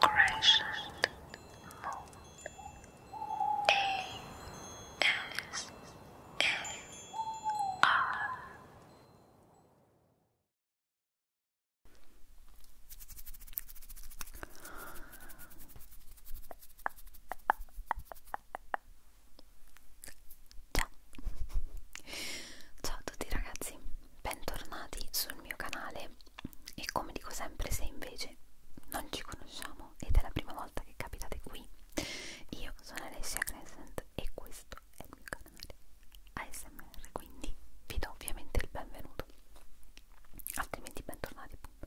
Crescent Moon A S A R Ciao. Ciao a tutti ragazzi bentornati sul mio canale e come dico sempre se invece non ci conosciamo ed è la prima volta che capitate qui io sono Alessia Crescent e questo è il mio canale ASMR quindi vi do ovviamente il benvenuto altrimenti bentornati appunto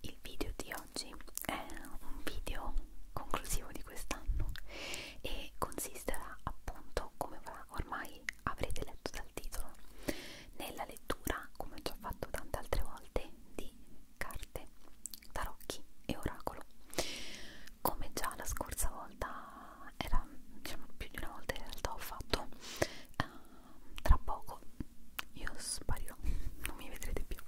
il video di oggi è un video conclusivo di quest'anno e consisterà appunto come ormai avrete letto dal titolo, nella lettura, come ho già fatto tante altre volte, di carte, tarocchi e oracolo. Come già la scorsa volta, era diciamo più di una volta in realtà ho fatto, uh, tra poco io sparirò, non mi vedrete più,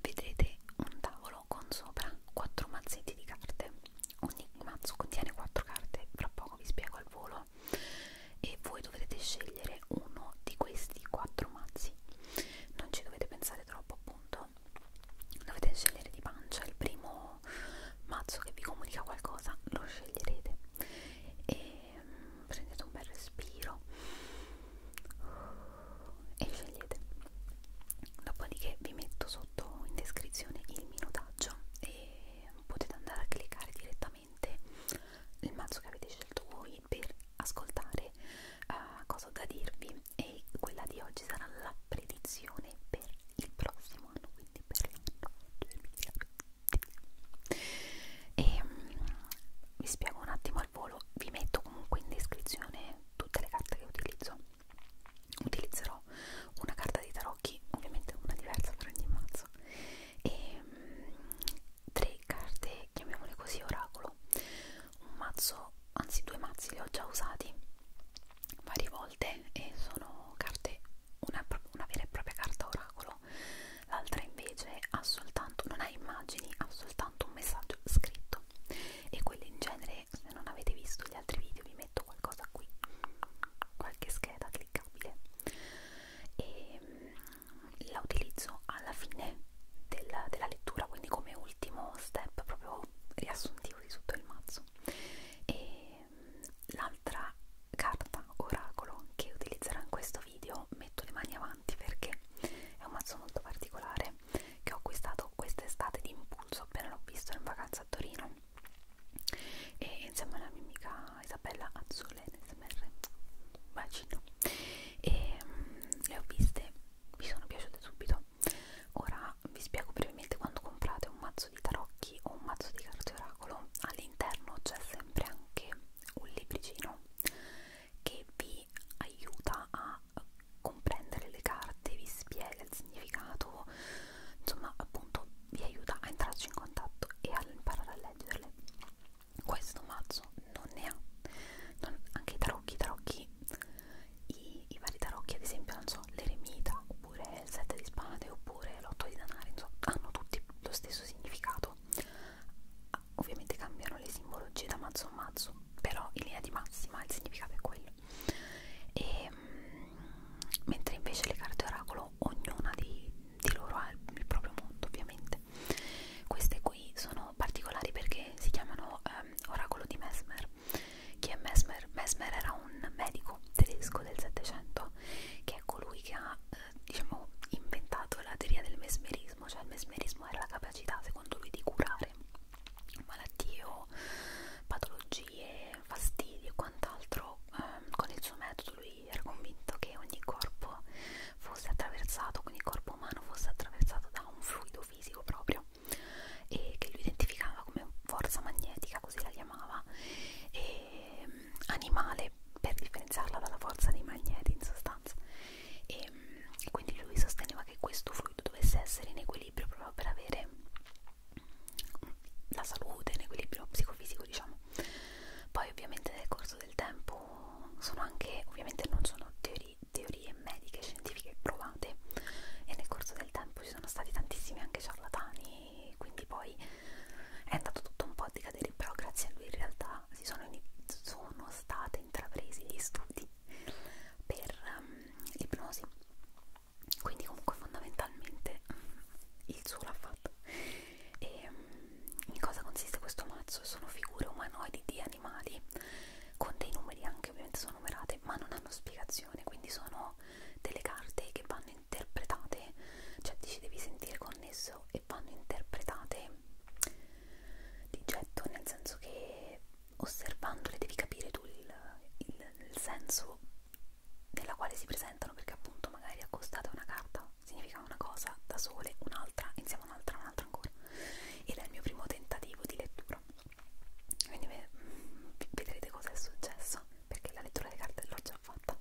vedrete un tavolo con sopra quattro mazzetti di carte Ogni mazzo contiene 4 carte, fra poco vi spiego al volo e voi dovrete scegliere uno di questi 4 mazzi. Non ci dovete pensare troppo, appunto. Dovete scegliere di pancia il primo mazzo che vi comunica qualcosa, lo sceglierete e mm, prendete un bel respiro e scegliete. Dopodiché vi metto sotto sotto in descrizione il minutaggio e potete andare a cliccare direttamente il mazzo che avete scelto voi per ascoltare uh, cosa ho da dirvi e quella di oggi sarà la predizione per il prossimo anno quindi per l'anno 2020 e um, vi spiego un attimo al volo vi metto comunque in descrizione tutte le carte che utilizzo utilizzerò una carta di tarocchi, ovviamente una diversa per ogni mazzo, e mh, mm, tre carte, chiamiamole così, oracolo. Un mazzo, anzi due mazzi li ho già usati varie volte e sono carte, una, una vera e propria carta oracolo, l'altra invece ha soltanto, non ha immagini, ha soltanto un messaggio scritto e quelle in genere se, se non avete visto gli altri video vi metto qualcosa qui qualche scheda cliccabile e ehm, mh, la utilizzo alla fine del, della lettura quindi come ultimo step proprio riassuntivo di tutto il mazzo e ehm, l'altra carta oracolo che utilizzerò in questo video metto le mani avanti perché è un mazzo molto particolare che ho acquistato quest'estate d'impulso appena l'ho visto in vacanza a Torino e insieme alla mia amica Isabella Azzolene SMR bacino e um, le ho viste mi sono piaciute subito ora vi spiego brevemente quando comprate un mazzo di tarocchi o un mazzo di carte oracolo all'interno c'è sempre anche un libricino che vi aiuta a comprendere le carte vi spiega il significato insomma appunto vi aiuta a entrarci in contatto e a imparare a leggerle questo mazzo non ne ha non, anche i tarocchi, i tarocchi i, i vari tarocchi ad esempio non so, l'eremita oppure il 7 di spade oppure l'8 di danari insomma hanno tutti lo stesso significato ovviamente cambiano le simbologie da mazzo a mazzo però in linea di massima il significato è quello e, mm, mentre invece le carte oracolo ognuna di, di loro ha il proprio mondo ovviamente queste qui sono particolari perché si chiamano ehm, oracolo di Mesmer chi è Mesmer? Mesmer era un medico tedesco del 700 che è colui che ha eh, diciamo inventato la teoria del mesmerismo cioè il mesmerismo era la capacità secondo lui di curare malattie o patologie patologie, fastidi e quant'altro, eh, con il suo metodo lui era convinto che ogni corpo fosse attraversato, quindi il corpo umano fosse attraversato da un fluido fisico proprio e che lui identificava come forza magnetica, così la chiamava, e, ehm, animale per differenziarla dalla forza dei magneti in sostanza. E, e quindi lui sosteneva che questo fluido dovesse essere in equilibrio proprio per avere la salute, l'equilibrio psicofisico diciamo poi ovviamente nel corso del tempo sono anche, ovviamente non sono teori, teorie mediche, scientifiche provate e nel corso del tempo ci sono stati tantissimi anche ciarlatani quindi poi è andato tutto un po' a decadere però grazie a lui in realtà si sono, sono state intrapresi gli studi per um, ehm, l'ipnosi quindi comunque fondamentalmente mm, il suo l'ha fatto e mm, in cosa consiste questo mazzo? sono figure umanoidi di animali con dei numeri anche ovviamente sono numerate ma non hanno spiegazione quindi sono delle carte che vanno interpretate cioè ti ci devi sentire connesso e vanno interpretate di getto nel senso che osservandole devi capire tu il, il, il senso nella quale si presentano perché appunto magari accostate una carta significa una cosa da sole, un'altra, insieme a un'altra, un'altra ancora ed è il mio primo tentativo di lettura quindi vedrete cosa è successo perché la lettura delle carte l'ho già fatta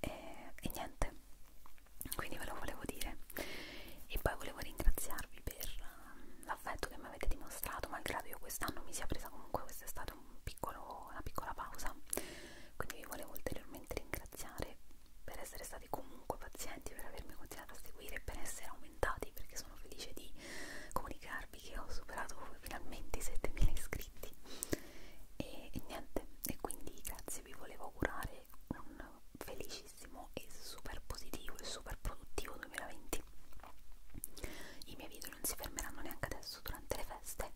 e, e niente quindi ve lo volevo dire e poi volevo ringraziarvi per um, l'affetto che mi avete dimostrato malgrado io quest'anno mi sia presa comunque quest'estate stata un piccolo, una piccola pausa quindi vi volevo ulteriormente ringraziare per essere stati comunque pazienti per avermi continuato a seguire e per essere aumentati perché sono felice di comunicarvi che ho superato finalmente i 7000 iscritti e, e niente e quindi grazie vi volevo augurare un felicissimo e super positivo e super produttivo 2020 i miei video video non si fermeranno neanche adesso durante le feste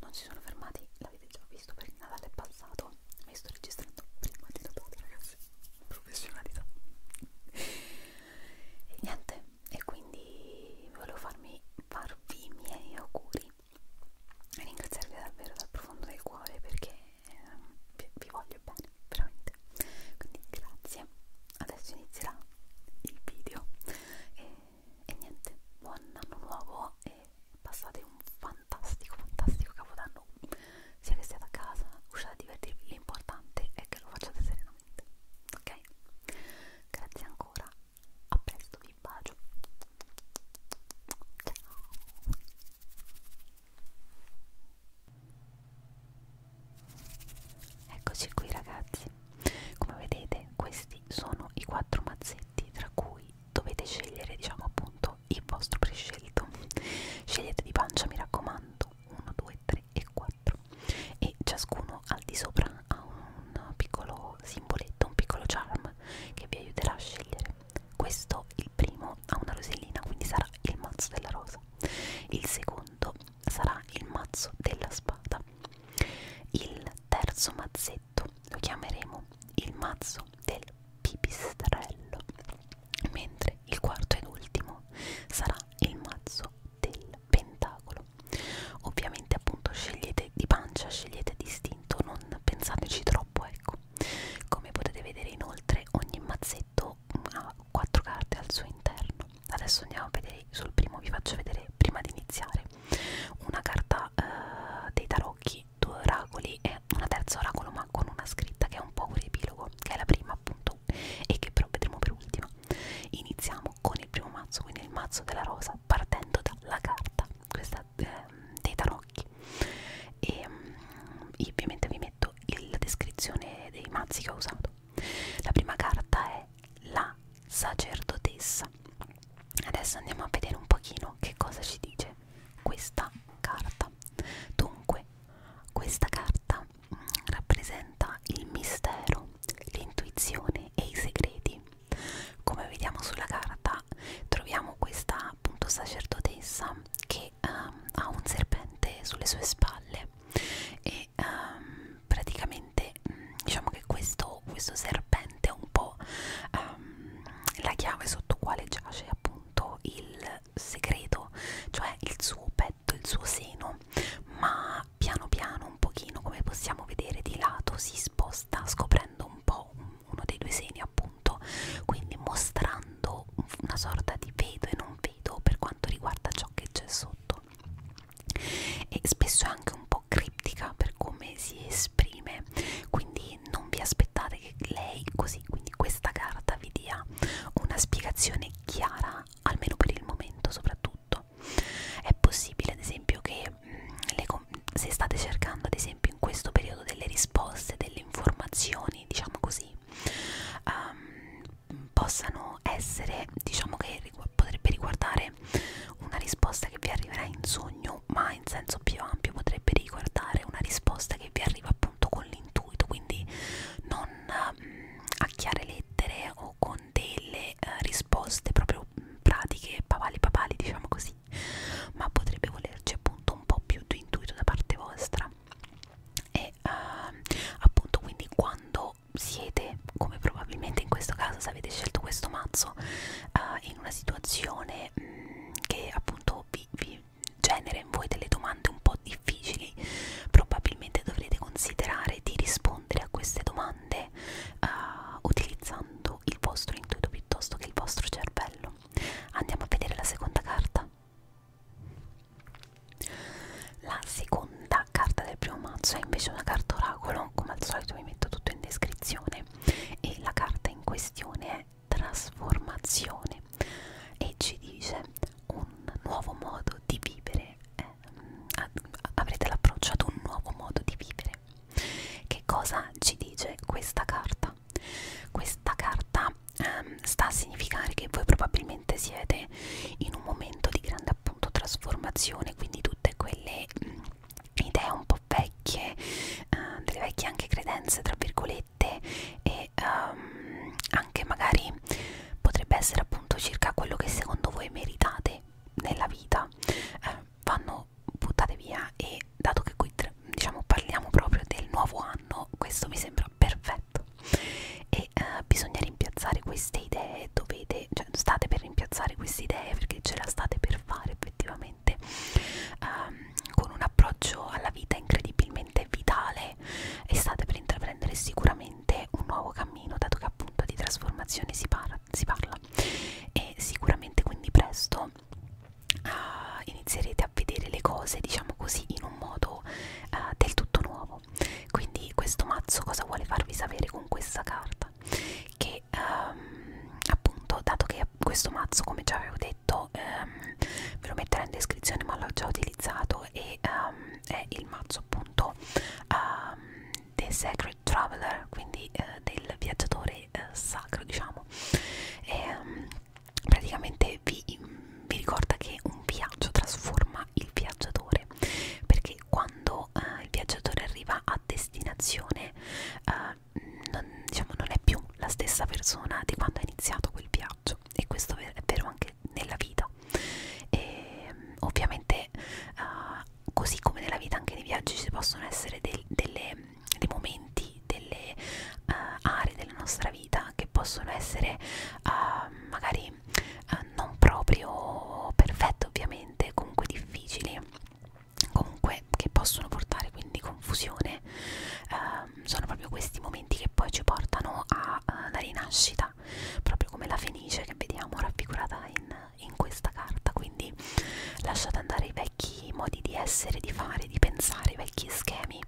non si sono fermati l'avete già visto perché Natale è passato mi sto registrando prima di Natale ragazzi professionalità e niente e quindi volevo farmi farvi i miei auguri e ringraziarvi davvero dal profondo del cuore perché eh, vi, vi voglio bene veramente quindi grazie adesso inizierà il video e, e niente, buon anno nuovo e passate un fantastico, fantastico capodanno sia che siate a casa, uscite a divertirvi, l'importante è che lo facciate serenamente, ok? Grazie ancora, a presto, vi bacio, ciao! Eccoci qui ragazzi, come vedete questi sono i quattro mazzetti tra cui dovete scegliere diciamo appunto il vostro prescelto. Scegliete di pancia mi raccomando, 1, 2, 3 e 4 e ciascuno al di sopra ha un piccolo simboletto, un piccolo charm che vi aiuterà a scegliere. Questo il primo ha una rosellina quindi sarà il mazzo della rosa. Il secondo sarà il mazzo della spada. Il terzo mazzetto lo chiameremo il mazzo del pipistrello, mentre il quarto ed ultimo sarà il mazzo del pentacolo. Ovviamente appunto scegliete di pancia, scegliete distinto, non pensateci troppo, ecco. Come potete vedere inoltre ogni mazzetto ha quattro carte al suo interno adesso andiamo a vedere sul primo vi faccio vedere prima di iniziare una carta eh, dei tarocchi due oracoli e una terza oracolo ma con una scritta che è un po' un riepilogo che è la prima appunto e che però vedremo per ultima iniziamo con il primo mazzo quindi il mazzo della rosa partendo dalla carta questa eh, dei tarocchi e mm, ovviamente vi metto il, la descrizione dei mazzi che ho usato la prima carta è la sacerdotessa. Adesso andiamo a vedere un pochino che cosa ci dice questa carta. Dunque, questa carta mm, rappresenta il mistero, l'intuizione e i segreti. Come vediamo sulla carta, troviamo questa appunto sacerdotessa che um, ha un serpente sulle sue spalle e e um, praticamente mh, mm, diciamo che questo, questo serpente è un po' um, la chiave sotto quale giace appunto il segreto, cioè il suo petto, il suo seno, ma piano piano un pochino come possiamo vedere di lato si sposta scoprendo un po' uno dei due seni appunto, quindi mostrando una sorta di vedo e non vedo per quanto riguarda ciò che c'è sotto modo e spesso è anche un po' criptica per come si esprime quindi non vi aspettate che lei così quindi questa carta vi dia una spiegazione chiara almeno per il momento soprattutto è possibile ad esempio che mh, mm, le, se state cercando ad esempio in questo periodo delle risposte delle informazioni diciamo così um, possano essere, diciamo che rigu potrebbe riguardare una risposta che vi arriverà in sogno, ma in senso più ampio potrebbe riguardare una risposta che vi arriva appunto con l'intuito, quindi non mh, mm, a chiare lettere o con delle uh, risposte proprio mh, mm, pratiche, papali papali diciamo così, ma potrebbe volerci appunto un po' più di intuito da parte vostra e uh, appunto quindi quando o siete, come probabilmente in questo caso se avete scelto questo mazzo, uh, in una situazione mh, mm, che appunto vi, vi genera in voi delle domande un po' difficili, probabilmente dovrete considerare di rispondere a queste domande uh, utilizzando il vostro intuito piuttosto che il vostro cervello. Andiamo a vedere la seconda carta. La seconda carta del primo mazzo è invece una carta oracolo, come al solito vi metto tutto in descrizione e la carta in questione è trasformazione e ci dice un nuovo modo di vivere, eh, mm, avrete l'approccio ad un nuovo modo di vivere. Che cosa ci dice questa carta? Questa carta ehm, sta a significare che voi probabilmente siete in un momento di grande appunto trasformazione, quindi tutte quelle mh, mm, idee un po' vecchie, uh, delle vecchie anche credenze tra virgolette e um, anche magari potrebbe essere appunto circa quello che secondo voi meritate nella vita, uh, vanno buttate via e dato che qui diciamo parliamo proprio del nuovo anno, questo mi sembra perfetto. E e eh, bisogna rimpiazzare queste idee dovete cioè state per rimpiazzare queste idee perché ce la state per fare effettivamente um, con un approccio alla vita incredibilmente vitale e state per intraprendere sicuramente un nuovo cammino dato che appunto di trasformazione si, parla, si parla e sicuramente quindi presto uh, inizierete a vedere le cose diciamo così in un modo uh, del tutto nuovo nuovo quindi questo mazzo cosa vuole farvi sapere con questa carta che um, appunto dato che questo mazzo come già avevo detto um, ve lo metterò in descrizione ma l'ho già utilizzato e um, è il mazzo appunto um, The Sacred Traveler quindi uh, del viaggiatore uh, sacro diciamo e, um, praticamente vi, vi ricorda che un viaggio trasforma il viaggiatore perché che quando eh, il viaggiatore arriva a destinazione eh, non, diciamo, non è più la stessa persona di quando è iniziato quel viaggio e questo è vero anche nella vita e, ovviamente eh, così come nella vita anche nei viaggi ci possono essere del, delle, dei momenti delle uh, aree della nostra vita che possono essere uh, magari poi eh, non proprio perfette ovviamente, comunque difficili, comunque che possono portare quindi confusione, eh, sono proprio questi momenti che poi ci portano alla eh, rinascita, proprio come la Fenice che vediamo raffigurata in, in questa carta, quindi lasciate andare i vecchi modi di essere, di fare, di pensare, i vecchi schemi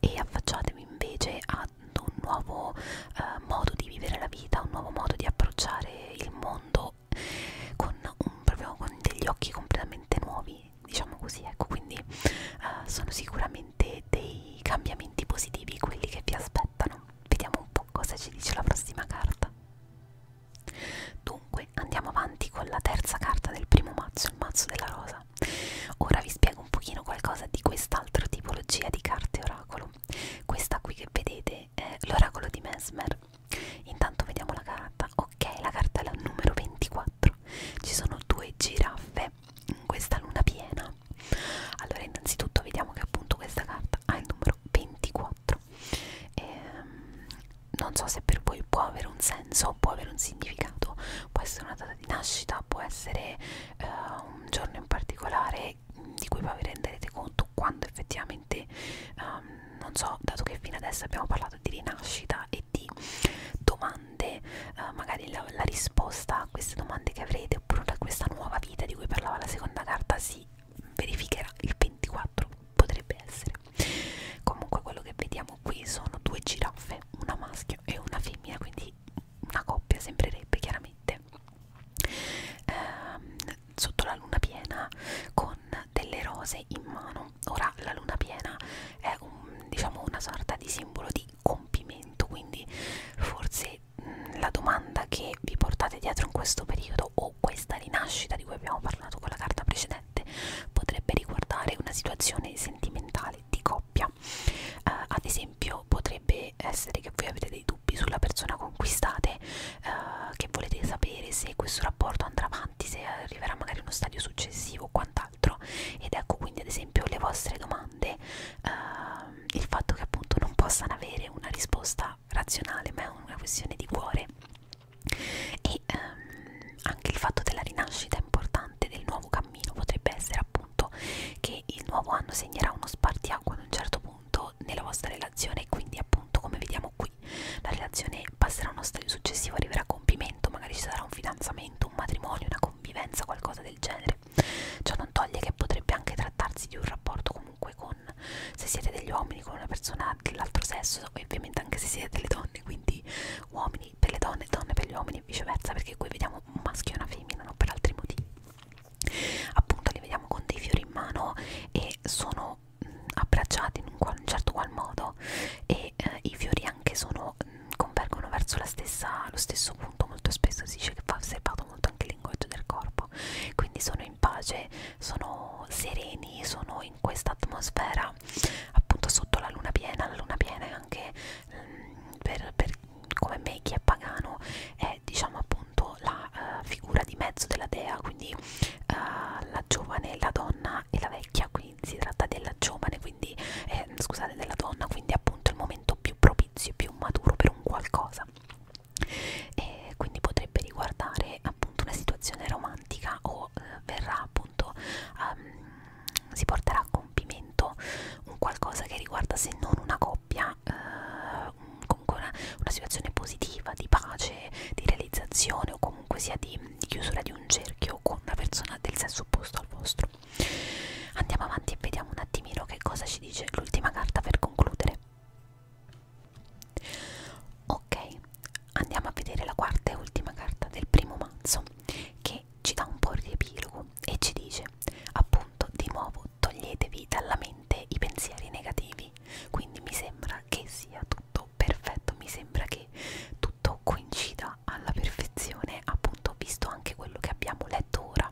e affacciatevi invece ad un nuovo eh, modo di vivere la vita, un nuovo modo di approcciare il mondo con, un, proprio con degli occhi completamente nuovi, diciamo così, ecco, quindi eh, sono sicuramente dei cambiamenti positivi quelli che vi aspettano. Vediamo un po' cosa ci dice la prossima carta. Dunque, andiamo avanti con la terza carta del primo mazzo, il mazzo della rosa. Ora vi spiego un pochino qualcosa di quest'altro tipologia di carte oracolo questa qui che vedete è l'oracolo di Mesmer. Intanto vediamo la carta. Ok, la carta è la numero 24. Ci sono due giraffe in questa luna piena. Allora, innanzitutto vediamo che appunto questa carta ha il numero 24. Ehm, non so se per voi può avere un senso, può avere un significato, può essere una data di nascita, può essere eh, un giorno in particolare che, di cui poi vi renderete conto quando effettivamente um, non so, dato che fino adesso abbiamo parlato di rinascita e di domande, uh, magari la, la risposta a queste domande che avrete oppure a questa nuova vita di cui parlava la seconda carta si verificherà il 24, potrebbe essere. Comunque quello che vediamo qui sono due giraffe, una maschio e una femmina, quindi una coppia sembrerebbe chiaramente ehm, sotto la luna piena con delle rose in mano ora la luna piena è un, diciamo una sorta di simbolo di compimento quindi forse mh, mm, la domanda che vi portate dietro in questo periodo o questa rinascita di cui abbiamo parlato con la carta precedente potrebbe riguardare una situazione sentimentale di coppia eh, ad esempio potrebbe potrebbe essere che voi avete dei dubbi sulla persona con cui state, eh, che volete sapere se questo rapporto andrà avanti, se arriverà magari uno stadio successivo o quant'altro. Ed ecco quindi ad esempio le vostre domande, eh, il fatto che appunto non possano avere una risposta razionale, ma è una questione di cuore. E ehm, anche il fatto della rinascita importante, del nuovo cammino, potrebbe essere appunto appunto che il nuovo anno segnerà uno spartiacque ad un certo punto nella vostra relazione quindi appunto come vediamo qui la relazione passerà a uno stadio successivo arriverà a compimento magari ci sarà un fidanzamento un matrimonio una convivenza qualcosa del genere ciò non toglie che potrebbe anche trattarsi di un rapporto comunque con se siete degli uomini con una persona dell'altro sesso ovviamente anche se siete delle donne quindi uomini per le donne donne per gli uomini e viceversa perché qui vediamo un maschio e una femmina non per altri motivi appunto li vediamo con dei fiori in mano e sono mh, mm, abbracciati in un, qual, un certo qual modo e eh, i fiori anche sono mh, mm, convergono verso la stessa, lo stesso punto molto spesso si dice che va osservato molto anche il linguaggio del corpo quindi sono in pace sono sereni sono in questa atmosfera appunto sotto la luna piena la luna piena è anche mh, mm, per, per come me chi è pagano è diciamo appunto la uh, figura di mezzo della dea quindi uh, la giovane, la donna e la vecchia quindi si tratta della giovane quindi eh, scusate della donna quindi appunto il momento più propizio più maturo per un qualcosa e quindi potrebbe riguardare appunto una situazione romantica o eh, verrà appunto um, si porterà a compimento un qualcosa che riguarda se non una coppia eh, una, uh, comunque una, una situazione positiva, di pace, di realizzazione o comunque sia di, di chiusura di un cerchio con una persona del sesso opposto al vostro. Andiamo avanti e vediamo un attimino che cosa ci dice l'ultima carta per concludere. Ok, andiamo a vedere la quarta e ultima carta del primo mazzo che ci dà un po' il riepilogo Paolo e ci dice appunto di nuovo toglietevi dalla mente i pensieri negativi quindi mi sembra che sia tutto perfetto mi sembra che tutto coincida alla perfezione appunto visto anche quello che abbiamo letto ora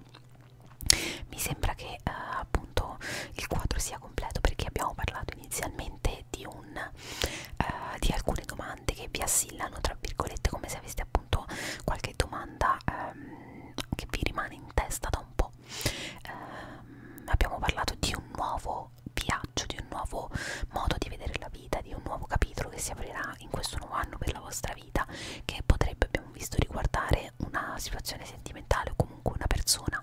mi sembra che eh, appunto il quadro sia completo perché abbiamo parlato inizialmente di un eh, di alcune domande che vi assillano tra virgolette come se aveste appunto qualche domanda ehm, che vi rimane in testa da un po'. Eh, abbiamo parlato di un nuovo viaggio, di un nuovo modo di vedere la vita, di un nuovo capitolo che si aprirà in questo nuovo anno per la vostra vita, che potrebbe, abbiamo visto, riguardare una situazione sentimentale o comunque una persona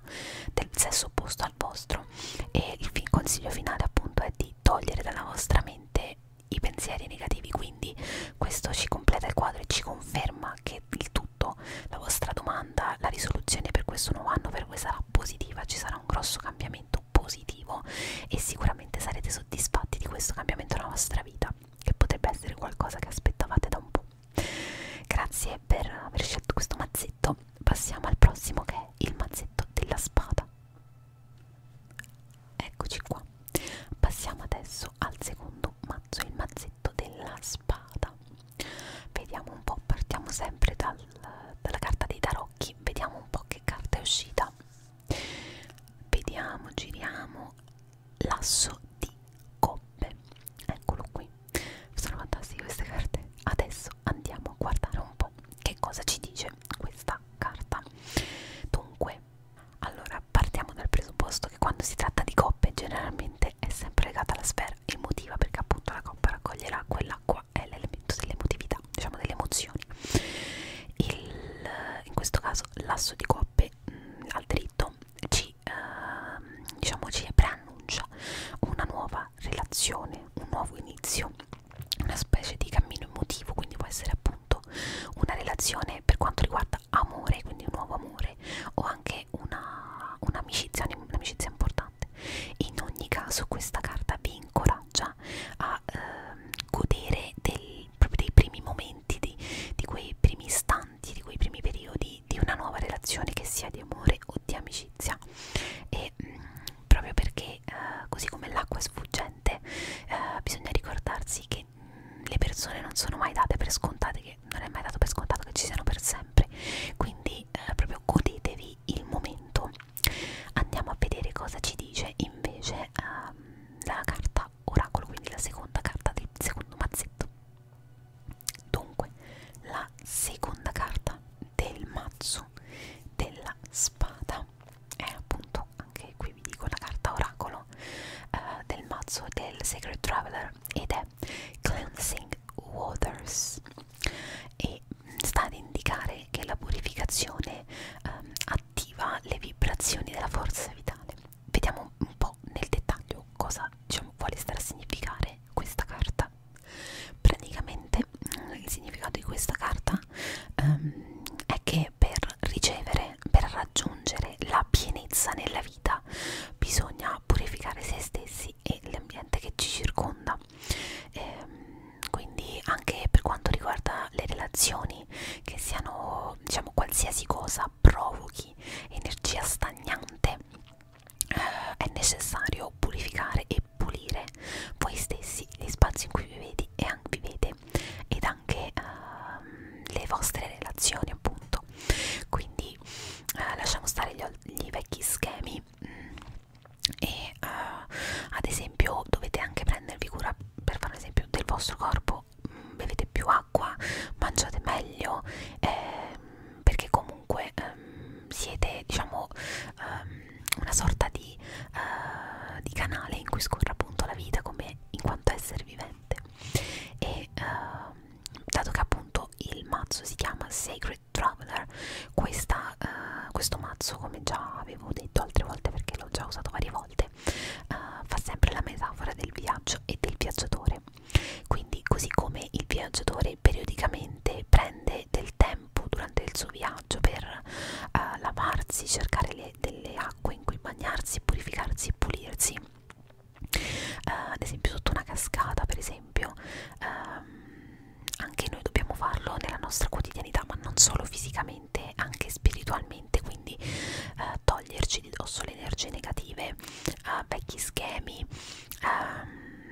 del sesso opposto al vostro. E il consiglio finale appunto è di togliere dalla vostra mente i pensieri negativi quindi questo ci completa il quadro e ci conferma che il tutto la vostra domanda la risoluzione per questo nuovo anno per voi sarà positiva ci sarà un grosso cambiamento positivo e sicuramente sarete soddisfatti di questo cambiamento nella vostra vita che potrebbe essere qualcosa che aspettavate da un po' grazie per aver scelto questo mazzetto passiamo al prossimo che è il mazzetto della spada Eccoci qua. Passiamo adesso al secondo mazzo, il mazzetto della spada. Vediamo un po', partiamo sempre dal, dalla carta dei tarocchi, vediamo un po' che carta è uscita. Vediamo, giriamo l'asso di coppe. Eccolo qui. Sono fantastiche queste carte. Adesso andiamo a guardare un po' che cosa ci dice questa carta. Dunque allora, partiamo dal presupposto che quando si tratta di coppe generalmente è sempre legata alla sfera emotiva perché appunto la coppa raccoglierà quell'acqua, è l'elemento dell'emotività, diciamo delle emozioni. Il, in questo caso l'asso di coppe mh, mm, al dritto ci, eh, diciamo, ci preannuncia una nuova relazione, un nuovo inizio, una specie di cammino emotivo, quindi può essere appunto appunto una relazione per quanto riguarda amore, quindi un nuovo amore o anche un'amicizia, un un'amicizia importante. In ogni caso questa carta vi incoraggia a ehm, godere del, proprio dei primi momenti, di, di quei primi istanti, di quei primi periodi di una nuova relazione che sia di amore o di amicizia. E mh, mm, proprio perché eh, così come l'acqua è sfuggente eh, bisogna ricordarsi che le persone non sono mai date per scontate che non è mai dato per scontato che ci siano per sempre quindi eh, proprio godetevi il momento andiamo a vedere cosa ci dice invece ehm, la carta oracolo quindi la seconda carta del secondo mazzetto dunque la seconda carta del mazzo della spada è appunto anche qui poi vi dico la carta oracolo uh, del mazzo del Sacred Traveler ed è Cleansing Waters e mm, sta ad indicare che la purificazione um, attiva le vibrazioni della forza vitale. Vediamo un po' nel dettaglio cosa diciamo, vuole stare a significare questa carta. Praticamente mm, il significato di questa carta um, è che che per ricevere, per raggiungere la pienezza nella vita bisogna purificare se stessi e l'ambiente che ci circonda. Ehm, quindi anche per quanto riguarda le relazioni, che siano diciamo qualsiasi cosa provochi energia stagnante, eh, è necessario purificare e pulire voi stessi gli spazi in cui vivete e anche, vivete amate ed anche ehm, le vostre relazioni appunto quindi eh, lasciamo stare gli, gli vecchi schemi mh, mm, e eh, ad esempio dovete anche prendervi cura per fare un esempio del vostro corpo mh, mm, bevete più acqua mangiate meglio ehm, perché comunque ehm, siete diciamo ehm, una sorta di, uh, di canale in cui scorre appunto la vita come in quanto esseri viventi presente e uh, dato che appunto il mazzo si chiama Sacred Traveler questa, uh, questo mazzo come già avevo detto altre volte perché l'ho già usato varie volte uh, fa sempre la metafora del viaggio e del viaggiatore quindi così come il viaggiatore periodicamente prende del tempo durante il suo viaggio per uh, lavarsi cercare le, delle acque acqua in cui bagnarsi, purificarsi e pulirsi. Uh, ad esempio sotto una cascata, per esempio, um, anche noi dobbiamo farlo nella nostra quotidianità, ma non solo fisicamente, anche spiritualmente, quindi uh, toglierci di dosso le energie negative, uh, vecchi schemi, um,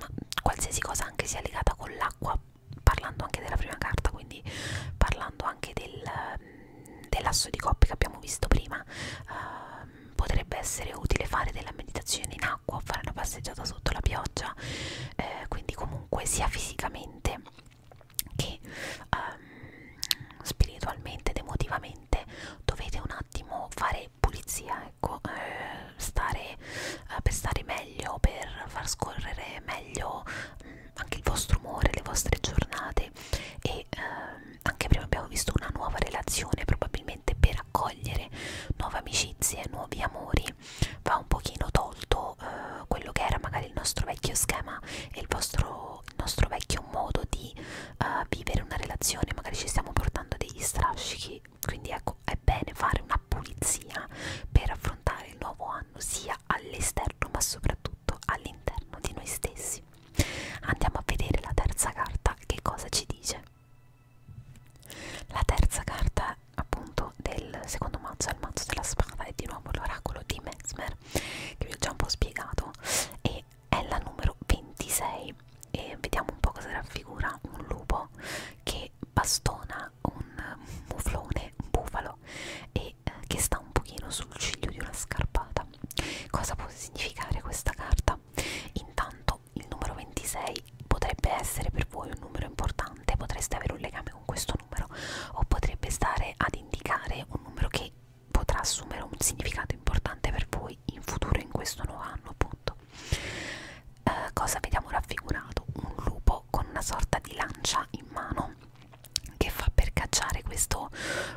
ma qualsiasi cosa anche sia legata con l'acqua, parlando anche della prima carta, quindi parlando anche del dell'asso di coppe che abbiamo visto prima eh, potrebbe essere utile fare della meditazione in acqua fare una passeggiata sotto la pioggia eh, quindi comunque sia fisicamente che ehm, spiritualmente ed emotivamente dovete un attimo fare pulizia ecco eh, stare eh, per stare meglio per far scorrere meglio mh, mm, anche il vostro umore, le vostre giornate e ehm, anche prima abbiamo visto una nuova relazione probabilmente per accogliere nuove amicizie, nuovi amori va un pochino tolto eh, quello che era magari il nostro vecchio schema e il, vostro, il nostro vecchio modo di eh, vivere una relazione magari ci stiamo portando degli strascichi quindi ecco è bene fare una pulizia per affrontare il nuovo anno fanno sia all'esterno ma soprattutto all'interno di noi stessi. Andiamo a vedere la terza carta che cosa ci dice. La terza carta appunto del secondo mazzo è il mazzo della spada e di nuovo l'oracolo di Mesmer che vi ho già un po' spiegato e è la numero 26 e vediamo un po' cosa raffigura un lupo che bastona un muflone, un bufalo e e eh, che sta un pochino sul ciglio di una scarpata. Cosa può significare questa carta? Intanto il numero 26 potrebbe essere per voi un numero importante, potreste avere un legame con questo numero o potrebbe stare ad indicare un numero che potrà assumere un significato importante per voi in futuro in questo nuovo anno appunto. Eh, cosa vediamo raffigurato? Un lupo con una sorta di lancia in mano che fa per cacciare questo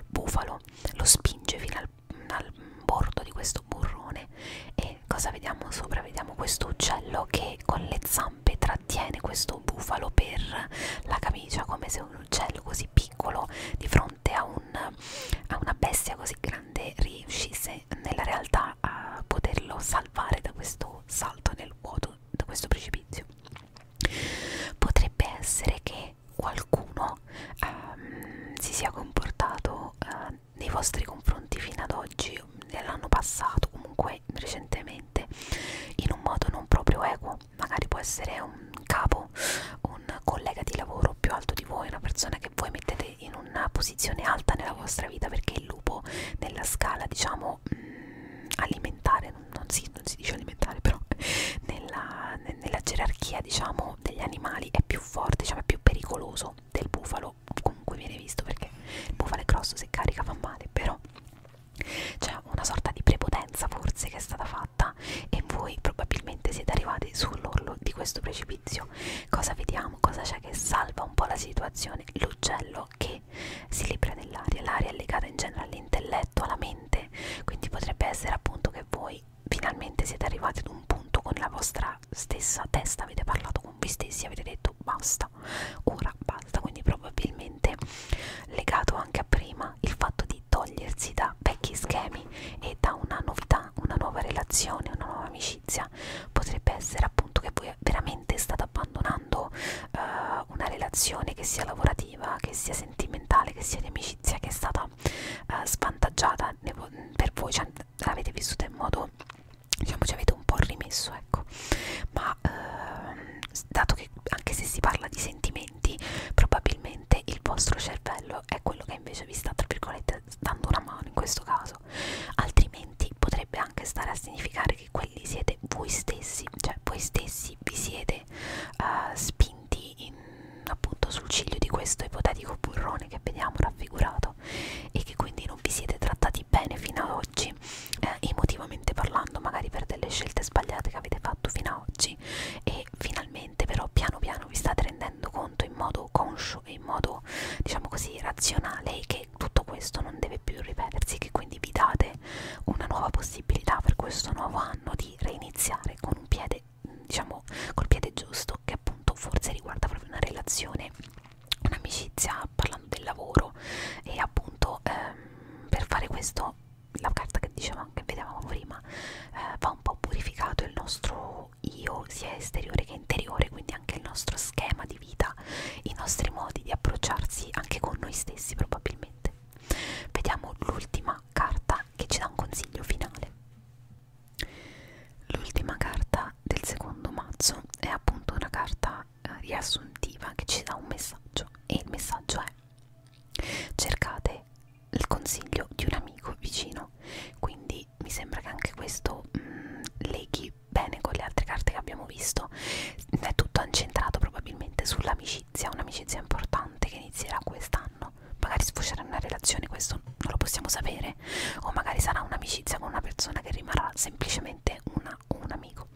bufalo lo spinge fino al, al bordo di questo burrone e cosa vediamo sopra? Vediamo questo uccello che con le zampe trattiene questo bufalo per la camicia come se un uccello così piccolo di fronte a, un, a una bestia così grande riuscisse nella realtà a poterlo salvare da questo salto nel vuoto, da questo precipizio potrebbe essere che qualcuno ehm, si sia comportato eh, nei vostri confronti fino ad oggi nell'anno passato comunque recentemente in un modo non proprio equo magari può essere un capo un collega di lavoro più alto di voi una persona che voi mettete in una posizione alta nella vostra vita perché il lupo nella scala diciamo mh, mm, alimentare non si, non si dice alimentare però nella, nella gerarchia diciamo degli animali è più forte diciamo è più pericoloso del bufalo comunque viene visto perché il bufalo è grosso se carica fa male però c'è una sorta di prepotenza forse che è stata fatta e voi probabilmente siete arrivati sull'orlo di questo precipizio cosa vediamo cosa c'è che salva un po' la situazione l'uccello che quindi si libera dell'aria, l'aria è legata in genere all'intelletto, alla mente, quindi potrebbe essere appunto che voi finalmente siete arrivati ad un punto con la vostra stessa testa, avete parlato con voi stessi, avete detto basta, ora basta, quindi probabilmente legato anche a prima il fatto di togliersi da vecchi schemi e da una novità, una nuova relazione, una nuova amicizia, potrebbe essere appunto che voi veramente state abbandonando. Uh, uh, una relazione che sia lavorativa, che sia sentimentale, che sia di amicizia, che è stata uh, svantaggiata per voi, cioè l'avete vissuta in modo, diciamo ci avete un po' rimesso, ecco, ma uh, dato che anche se si parla di sentimenti, probabilmente il vostro cervello è quello che invece vi sta, tra virgolette, dando una mano in questo caso, altrimenti potrebbe anche stare a significare che perché quelli siete voi stessi, cioè voi stessi vi siete uh, spinti in, appunto sul ciglio di questo ipotetico burrone che vediamo raffigurato e che quindi non vi siete trattati bene fino ad oggi, eh, emotivamente parlando, magari per delle scelte sbagliate che avete fatto fino ad oggi e finalmente però piano piano vi state rendendo conto in modo conscio e in modo diciamo così razionale che tutto questo non deve più ripetersi che quindi vi date una nuova possibilità per questo nuovo anno di reiniziare con un piede, diciamo col piede giusto, che appunto forse riguarda proprio una relazione, un'amicizia, parlando del lavoro e appunto ehm, per fare questo la carta che dicevamo che vedevamo prima eh, va un po' purificato il nostro io sia esteriore che interiore quindi anche il nostro schema di vita i nostri modi di approcciarsi anche con noi stessi probabilmente Vediamo l'ultima carta che ci dà un consiglio finale. L'ultima carta del secondo mazzo è appunto una carta eh, riassuntiva che ci dà un messaggio e il messaggio è cercate il consiglio di un amico vicino quindi mi sembra che anche questo mh, mm, leghi bene con le altre carte che abbiamo visto è tutto incentrato probabilmente sull'amicizia un'amicizia, un'amicizia importante che inizierà quest'anno, magari sfocerà in una relazione, questo non lo possiamo sapere, o magari sarà un'amicizia con una persona che rimarrà semplicemente una, un amico.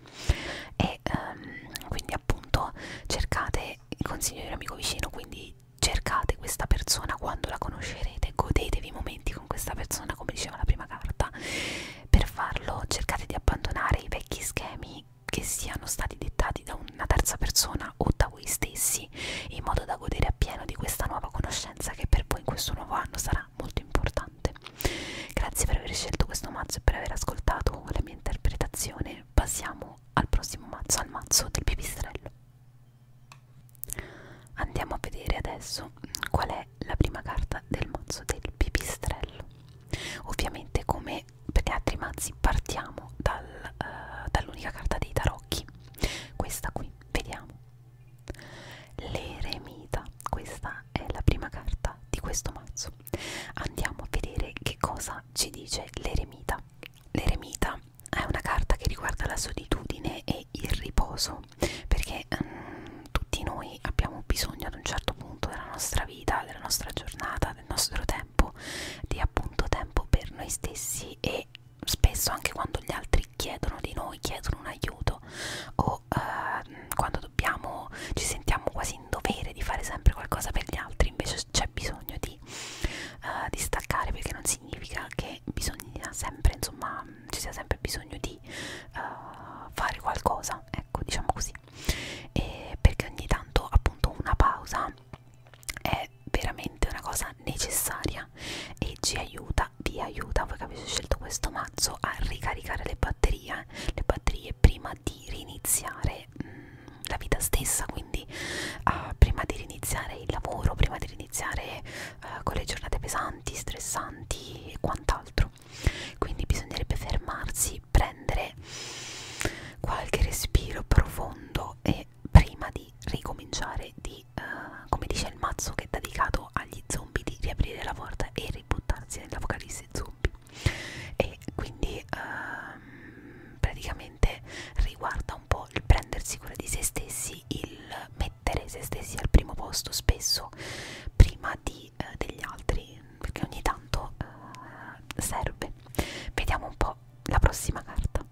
E um, quindi appunto cercate il consiglio di un amico vicino, quindi cercate questa persona quando la conoscerete, godetevi i momenti con questa persona, come diceva la prima carta. Per farlo cercate di abbandonare i vecchi schemi che siano stati dettati da una terza persona o da voi stessi in modo da godere appieno di questa nuova conoscenza che per voi in questo nuovo anno sarà molto importante. Grazie per aver scelto questo mazzo e per aver ascoltato la mia interpretazione. Passiamo al prossimo mazzo, al mazzo del pipistrello. Andiamo a vedere adesso qual è la prima carta del mazzo del pipistrello. Ovviamente come e per gli altri mazzi partiamo dal, uh, dall'unica carta dei tarocchi questa qui vediamo l'eremita questa è la prima carta di questo mazzo andiamo a vedere che cosa ci dice l'eremita l'eremita è una carta che riguarda la solitudine e il riposo perché um, tutti noi abbiamo bisogno ad un certo punto della nostra nostra vita, della nostra giornata, del nostro tempo, di appunto tempo per noi stessi e spesso anche quando gli altri chiedono di noi, chiedono un aiuto o eh, quando dobbiamo, ci sentiamo quasi in dovere di fare sempre qualcosa per gli altri, invece c'è bisogno di, eh, di staccare perché non significa che bisogna sempre, insomma, ci sia sempre bisogno di eh, fare qualcosa, ecco, diciamo così e perché ogni tanto appunto una pausa è veramente una cosa necessaria e ci aiuta, vi aiuta, voi che avete scelto questo mazzo a ricaricare le batterie, le batterie prima di riniziare mh, mm, la vita stessa, quindi uh, prima di riniziare il lavoro, prima di riniziare uh, con le giornate pesanti, stressanti e quant'altro vita quindi bisognerebbe fermarsi prendere qualche respiro profondo e prima di ricominciare di uh, come dice il mazzo che è dedicato agli zombie di riaprire la porta e ributtarsi nell'apocalisse zombie e quindi uh, praticamente riguarda un po' il prendersi cura di se stessi il mettere se stessi al primo posto spesso prima di, eh, degli altri perché ogni tanto eh, serve vediamo un po' la prossima carta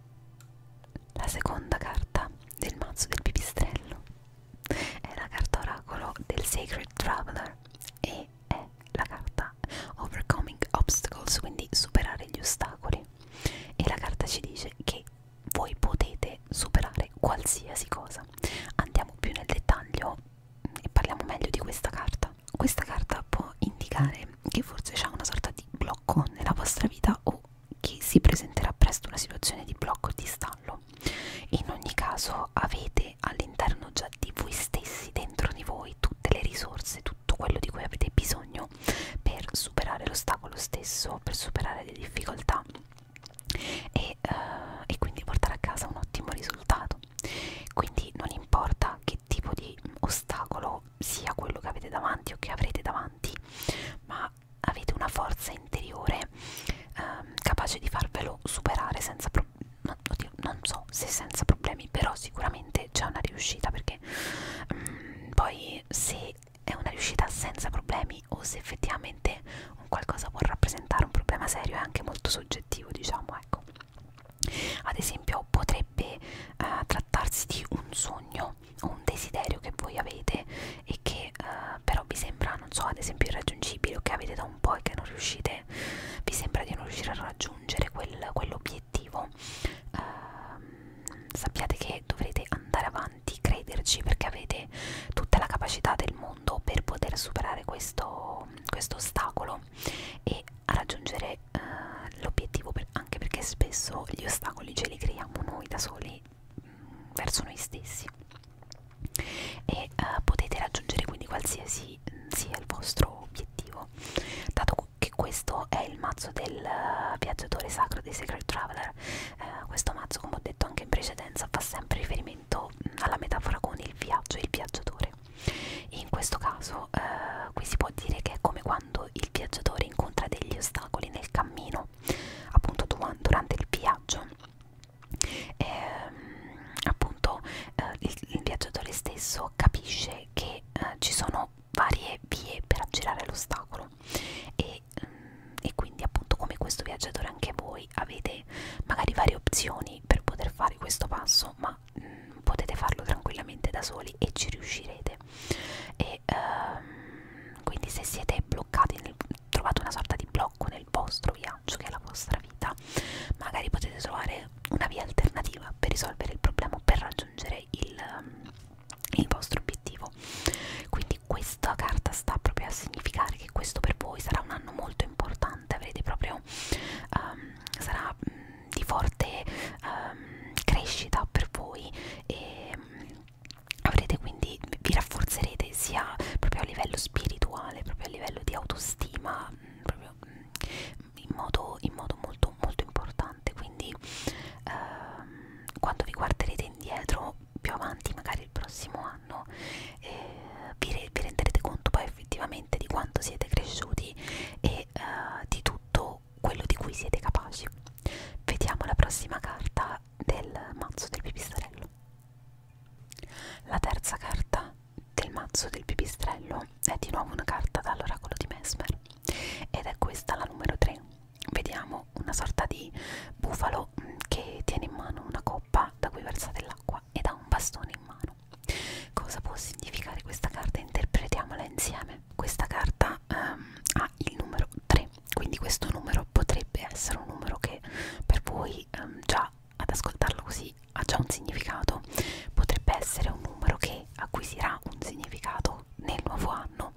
la seconda carta del mazzo del pipistrello è la carta oracolo del Sacred Traveler e è la carta Overcoming Obstacles quindi superare gli ostacoli e la carta ci dice che voi potete superare qualsiasi cosa andiamo più nel dettaglio e parliamo meglio di questa carta. Questa carta può indicare che forse c'è una sorta di blocco nella vostra vita o che si presenterà presto una situazione di blocco e di stallo. In ogni caso avete all'interno già di voi stessi, dentro di voi, tutte le risorse, tutto quello di cui avete bisogno per superare l'ostacolo stesso, per superare le difficoltà e, uh, e quindi portare a casa un ottimo risultato mondo quindi non importa che tipo di ostacolo sia quello che avete davanti o che avrete davanti ma avete una forza interiore ehm, capace di farvelo superare senza problemi Oddio, non so se senza problemi però sicuramente c'è una riuscita perché mm, poi se è una riuscita senza problemi o se effettivamente un qualcosa può rappresentare un problema serio è anche molto soggettivo diciamo ecco ad esempio potrebbe eh, trattarsi di un sogno o un desiderio che voi avete e che eh, però vi sembra non so ad esempio irraggiungibile o che avete da un po' e che non riuscite vi sembra di non riuscire a raggiungere quel, quell'obiettivo eh, sappiate che dovrete andare avanti crederci perché avete tutta la capacità del mondo mondo per poter superare questo, questo ostacolo e a raggiungere uh, l'obiettivo per, anche perché spesso gli ostacoli ce li creiamo noi da soli mh, mm, verso noi stessi e uh, potete raggiungere quindi qualsiasi mh, mm, sia il vostro obiettivo dato che questo è il mazzo del uh, viaggiatore sacro dei Secret Traveler uh, questo mazzo come ho detto anche in precedenza fa sempre riferimento mm, alla metafora con il viaggio e il viaggiatore viaggiare. In questo caso eh, qui si può dire che è come quando il viaggiatore incontra degli ostacoli nel cammino, appunto durante il viaggio. Ehm, appunto eh, il, il viaggiatore stesso capisce che eh, ci sono varie vie per aggirare l'ostacolo e, mm, e quindi appunto come questo viaggiatore anche voi voi avete magari varie opzioni per poter fare questo passo ma mh, mm, potete farlo tranquillamente da soli e ci riuscirete e um, quindi se siete bloccati nel, trovate una sorta di blocco nel vostro viaggio che è la vostra vita magari potete trovare una via alternativa per risolvere il problema o per raggiungere il, um, il vostro obiettivo quindi questa carta sta proprio a significare che questo per voi sarà un anno molto importante pesante, avrete proprio um, sarà um, di forte um, crescita per voi e um, avrete quindi vi rafforzerete sia proprio a livello spirituale, proprio a livello di autostima, um, proprio um, in, modo, in modo molto molto importante. Quindi um, quando vi guarderete indietro più avanti, magari il prossimo anno anno eh, vi, re vi renderete conto poi effettivamente di quanto siete cresciuti e eh, di tutto quello di cui siete capaci vediamo la prossima carta del mazzo del pipistrello la terza carta del mazzo del pipistrello è di nuovo una carta dall'oracolo di Mesmer ed è questa la numero 3 vediamo una sorta di bufalo mm, che tiene in mano una coppa da cui versa dell'acqua acqua ed ha un bastone in mano. Cosa può significare questa carta? Interpretiamola insieme. Questa carta um, ha il numero 3, quindi questo numero potrebbe essere un numero che per voi um, già ad ascoltarlo così ha già un significato, potrebbe essere un numero che acquisirà un significato nel nuovo anno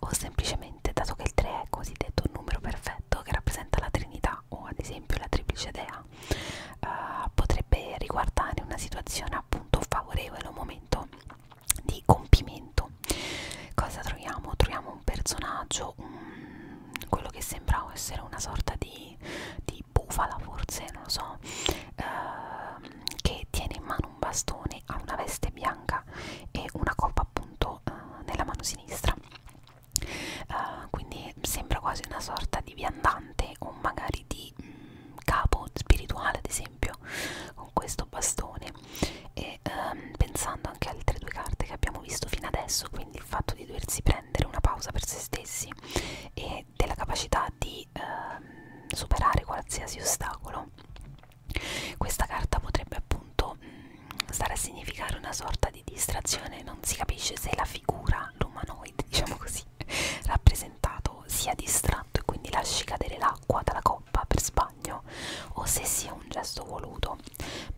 o semplicemente dato che il 3 è cosiddetto un numero perfetto che rappresenta la Trinità dea o ad esempio la triplice dea eh, potrebbe riguardare una situazione appunto favorevole, un momento di compimento. Cosa troviamo? Troviamo un personaggio, un, quello che sembrava essere una sorta di, di bufala forse, non lo so, eh, che tiene in mano un bastone, ha una veste bianca e una coppa appunto eh, nella mano sinistra Uh, quindi sembra quasi una sorta di viandante o magari di mh, mm, capo spirituale ad esempio con questo bastone e um, pensando anche alle altre due carte che abbiamo visto fino adesso quindi il fatto di doversi prendere una pausa per se stessi e della capacità di um, superare qualsiasi ostacolo questa carta potrebbe appunto mh, mm, stare a significare una sorta sorta di distrazione, non si capisce se la figura, l'umanoide, diciamo così, rappresentato sia distratto e quindi lasci cadere l'acqua dalla coppa per sbaglio o se sia un gesto voluto.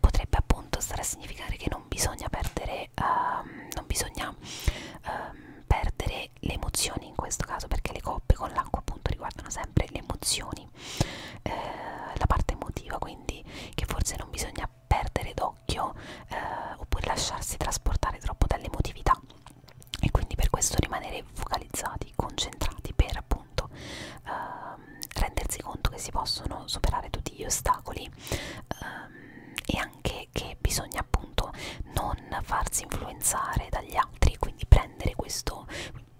Potrebbe appunto stare a significare che non bisogna perdere, um, non bisogna um, perdere le emozioni in questo caso perché le coppe con l'acqua appunto riguardano sempre le emozioni, eh, la parte emotiva, quindi che forse non bisogna perdere d'occhio eh, oppure lasciarsi trasportare troppo dall'emotività e quindi per questo rimanere focalizzati, concentrati per appunto ehm, rendersi conto che si possono superare tutti gli ostacoli ehm, e anche che bisogna appunto non farsi influenzare dagli altri, quindi prendere questo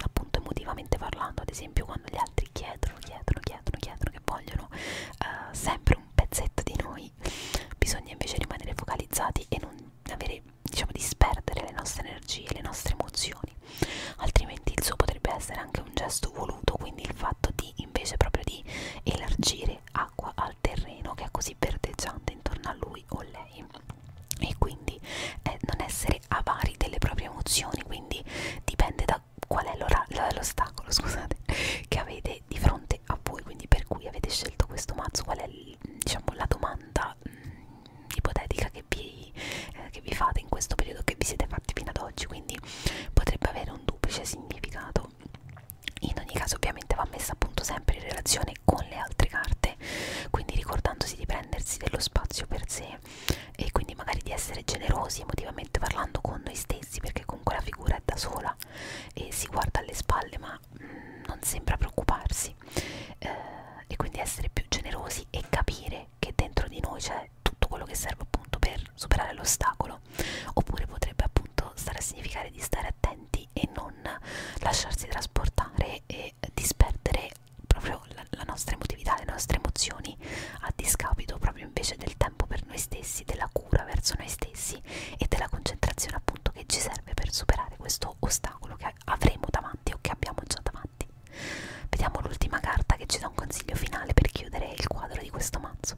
appunto emotivamente parlando, ad esempio quando gli altri altri chiedono, chiedono, chiedono, chiedono che vogliono uh, sempre un pezzetto di noi bisogna invece rimanere focalizzati e non avere, diciamo, disperdere le nostre energie, le nostre emozioni altrimenti il suo potrebbe essere anche un gesto voluto, quindi il fatto di invece proprio di elargire acqua al terreno che è così verdeggiante intorno a lui o lei e quindi eh, non essere avari delle proprie emozioni quindi dipende da la, qual è l'ostacolo scusate che avete di fronte a voi quindi per cui avete scelto questo mazzo qual è diciamo la domanda mh, mm, ipotetica che vi, eh, che vi fate in questo periodo che vi siete fatti fino ad oggi quindi potrebbe avere un duplice significato in ogni caso ovviamente va messa appunto sempre in relazione con le altre carte quindi ricordandosi di prendersi dello spazio per sé e quindi magari di essere generosi emotivamente parlando con noi stessi stessi perché comunque la figura è da sola e si guarda alle spalle ma mm, non sembra preoccuparsi eh, e quindi essere più generosi e capire che dentro di noi c'è tutto quello che serve appunto per superare l'ostacolo oppure potrebbe appunto stare a significare di stare attenti e non lasciarsi trasportare e disperdere proprio la, la nostra emotività, le nostre emozioni umani, a discapito proprio invece del tempo per noi stessi, della cura verso noi stessi e della concentrazione appunto che ci serve per superare questo ostacolo che avremo davanti o che abbiamo già davanti. Vediamo l'ultima carta che ci dà un consiglio finale per chiudere il quadro di questo mazzo.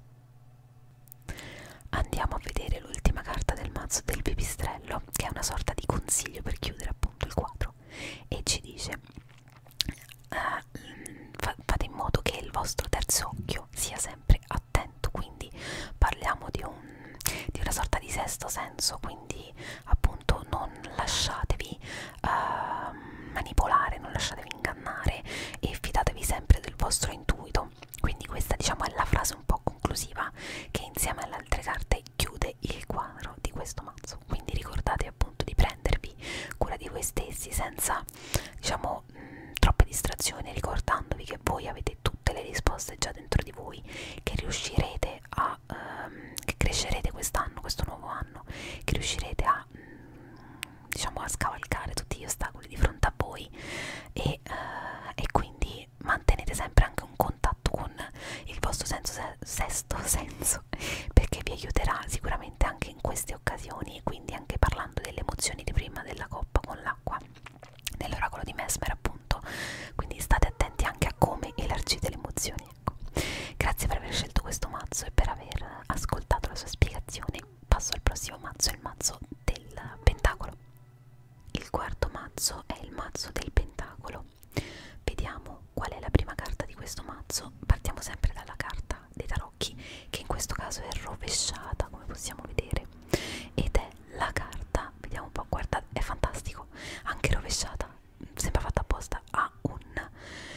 Andiamo a vedere l'ultima carta del mazzo del pipistrello, che è una sorta di consiglio per chiudere appunto il quadro e ci dice eh, fa, fate in modo che il vostro terzo occhio sia sempre attento quindi parliamo di, un, di una sorta di sesto senso quindi appunto non lasciatevi eh, manipolare non lasciatevi ingannare e fidatevi sempre del vostro intuito quindi questa diciamo è la frase un po' conclusiva che insieme alle altre carte chiude il quadro di questo mazzo quindi ricordate appunto di prendervi cura di voi stessi senza senza diciamo mh, mm, troppe distrazioni ricordandovi che voi avete tutte le risposte già dentro di voi che riuscirete a ehm, che crescerete quest'anno questo nuovo anno che riuscirete a mh, mm, diciamo a scavalcare tutti gli ostacoli di fronte a voi e, eh, e quindi mantenete sempre anche un contatto con il vostro senso se sesto senso perché vi aiuterà sicuramente anche in queste occasioni quindi anche parlando delle emozioni di prima della coppa con l'acqua nell'oracolo di Mesmer appunto quindi state attenti anche a come elargite le emozioni ecco. grazie per aver scelto questo mazzo e per aver ascoltato la sua spiegazione passo al prossimo mazzo il mazzo del pentacolo il quarto mazzo è il mazzo del pentacolo vediamo qual è la prima carta di questo mazzo partiamo sempre dalla carta dei tarocchi occhi che in questo caso è rovesciata come possiamo vedere ed è la carta vediamo un po' guarda è fantastico anche rovesciata mm, sembra fatta apposta a un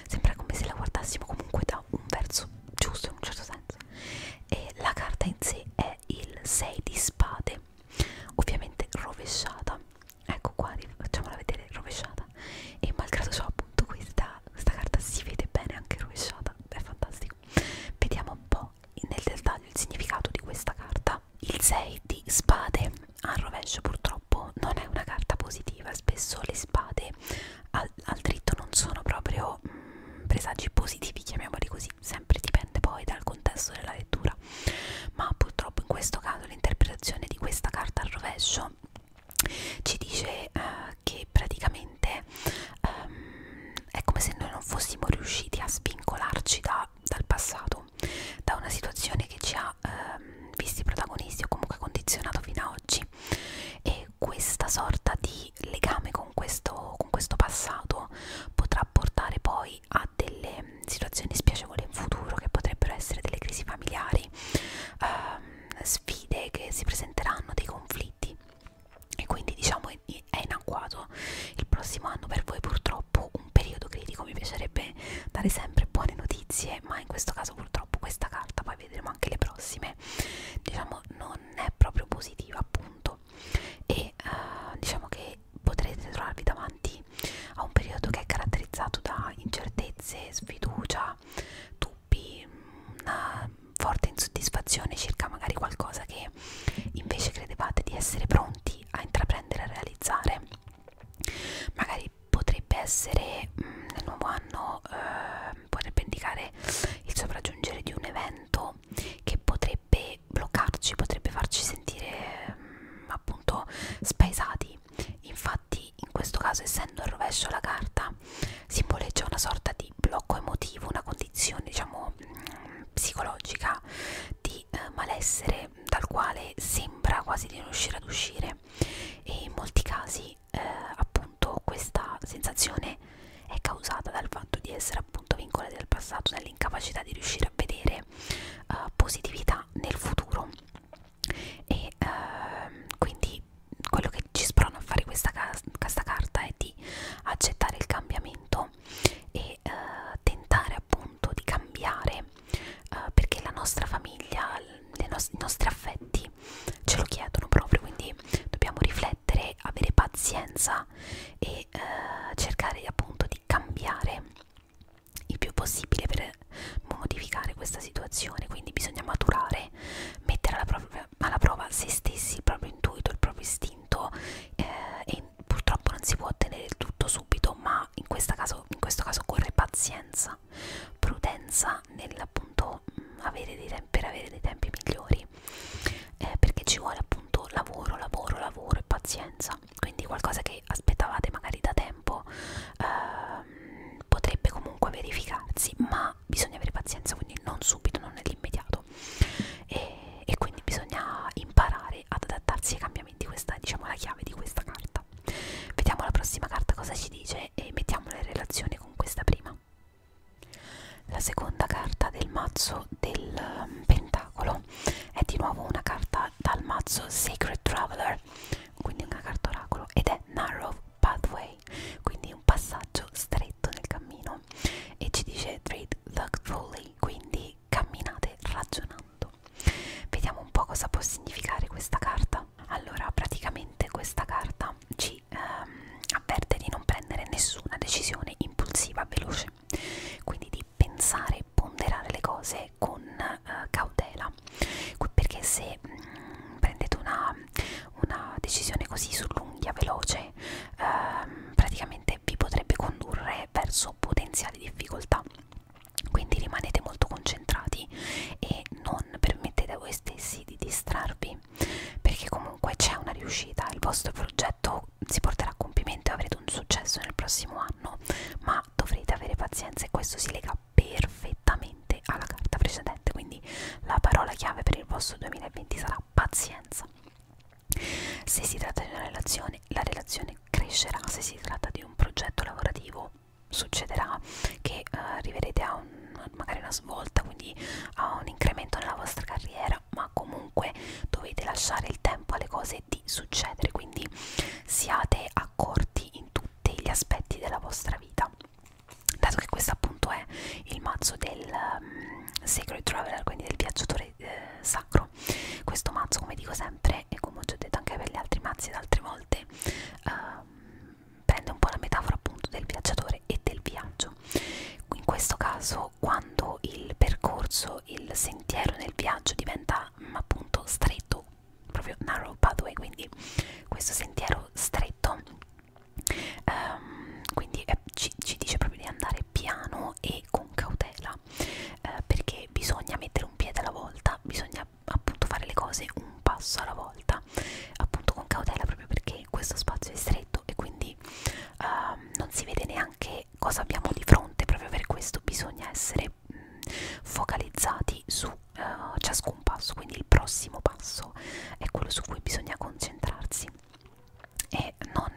sembra come se la guardassimo comunque da un verso giusto in un certo senso e la carta in sé è il 6 di spade ovviamente rovesciata ecco qua facciamola vedere rovesciata rovesciata e malgrado ciò appunto questa, questa carta si vede bene anche rovesciata è fantastico vediamo un po' nel dettaglio il significato di questa carta il 6 di spade al rovescio purtroppo non è una carta positiva spesso le spade al, al dritto non sono proprio mh, mm, presagi positivi chiamiamoli così sempre dipende poi dal contesto della lettura ma purtroppo in questo caso l'interpretazione di questa carta al rovescio ci dice uh, che praticamente um, è come se noi non fossimo riusciti a svincolarci da, dal passato, da una situazione che ci ha um, visti protagonisti o comunque condizionato fino ad oggi e questa sorta di legame con questo, con questo passato potrà portare poi a delle situazioni spiacevoli in futuro che potrebbero essere delle crisi familiari. Um, sfide che si presenteranno, dei conflitti e quindi diciamo è, è inacquato il prossimo anno per voi purtroppo un periodo critico, mi piacerebbe dare sempre buone notizie ma in questo caso purtroppo questa carta, poi vedremo anche le prossime, diciamo non è proprio positiva appunto e uh, diciamo che potrete trovarvi davanti a un periodo che è caratterizzato da incertezze, sfiducia, dubbi, una forte insoddisfazione circa magari qualcosa che invece credevate di essere pronti a intraprendere, a realizzare. Magari potrebbe essere mh, mm, nel nuovo anno, eh, potrebbe indicare il sopraggiungere di un evento che potrebbe bloccarci, potrebbe farci sentire mh, mm, appunto spaesati. Infatti quindi in questo caso essendo al rovescio la carta simboleggia una sorta di blocco emotivo, una condizione diciamo mm, psicologica di eh, malessere dal quale sembra quasi di non riuscire ad uscire e in molti casi eh, appunto questa sensazione è causata dal fatto di essere appunto vincolati al passato, dall'incapacità di riuscire a vedere eh, positività nel futuro e eh, quindi quello che ci sprona a fare questa, questa carta è di accettare il cambiamento e eh, tentare appunto di cambiare eh, perché la nostra famiglia, no i nostri affetti ce lo chiedono proprio, quindi dobbiamo riflettere, avere pazienza e eh, cercare appunto di cambiare il più possibile per modificare questa situazione, quindi bisogna maturare mettere alla prova, alla prova se stessi, il proprio intuito, il proprio istinto eh, e purtroppo non si può ottenere il tutto subito, ma in, caso, in questo caso occorre pazienza, prudenza nell'appunto mm, avere dei tempi, per avere dei tempi migliori, eh, perché ci vuole appunto lavoro, lavoro, lavoro e pazienza, quindi qualcosa che aspettavate magari da tempo. Eh, potrebbe comunque verificarsi ma ma bisogna avere pazienza, quindi non subito, non nell'immediato e, e quindi bisogna imparare ad adattarsi ai cambiamenti, questa è diciamo la chiave di questa carta. Vediamo la prossima carta cosa ci dice e mettiamola in relazione con questa prima. La seconda carta del mazzo del um, Pentacolo è di nuovo una carta dal mazzo Sacred Traveler, quindi una carta oracolo, ed è Narrow Pathway ok? Quindi un passaggio stretto nel cammino e ci dice trade thoughtfully, quindi camminate ragionando. Vediamo un po' cosa può significare questa carta. Allora, praticamente questa carta ci ehm, avverte di non prendere nessuna decisione impulsiva veloce, quindi di pensare e ponderare le cose con eh, cautela, perché se mh, mm, prendete una una decisione così sull'unghia veloce ehm, praticamente vi potrebbe condurre verso potenziali difficoltà quindi rimanete molto concentrati e non permettete a voi stessi di distrarvi perché comunque c'è una riuscita il vostro progetto si porterà a compimento e avrete un successo nel prossimo anno ma dovrete avere pazienza e questo si lega perfettamente nettamente alla carta precedente quindi la parola chiave per il vostro 2020 sarà pazienza se si tratta di una relazione la relazione crescerà se si tratta di un progetto lavorativo succederà che uh, arriverete a un, magari una svolta quindi a un incremento nella vostra carriera ma comunque dovete lasciare il tempo alle cose di succedere quindi siate accorti in tutti gli aspetti della vostra vita dato che questo appunto è il mazzo del um, Sacred Traveler, quindi del viaggiatore eh, sacro, questo mazzo come dico sempre e come ho già detto anche per gli altri mazzi ed altre volte um, prende un po' la metafora appunto del viaggiatore e del viaggio. In questo caso quando il percorso, il sentiero nel viaggio diventa um, appunto stretto, proprio narrow pathway, quindi questo sentiero stretto Um, quindi eh, ci, ci dice proprio di andare piano e con cautela eh, perché bisogna mettere un piede alla volta, bisogna appunto fare le cose un passo alla volta, appunto con cautela proprio perché questo spazio è stretto e quindi um, non si vede neanche cosa abbiamo di fronte, proprio per questo bisogna essere mh, mm, focalizzati su uh, ciascun passo quindi il prossimo passo è quello su cui bisogna concentrarsi e non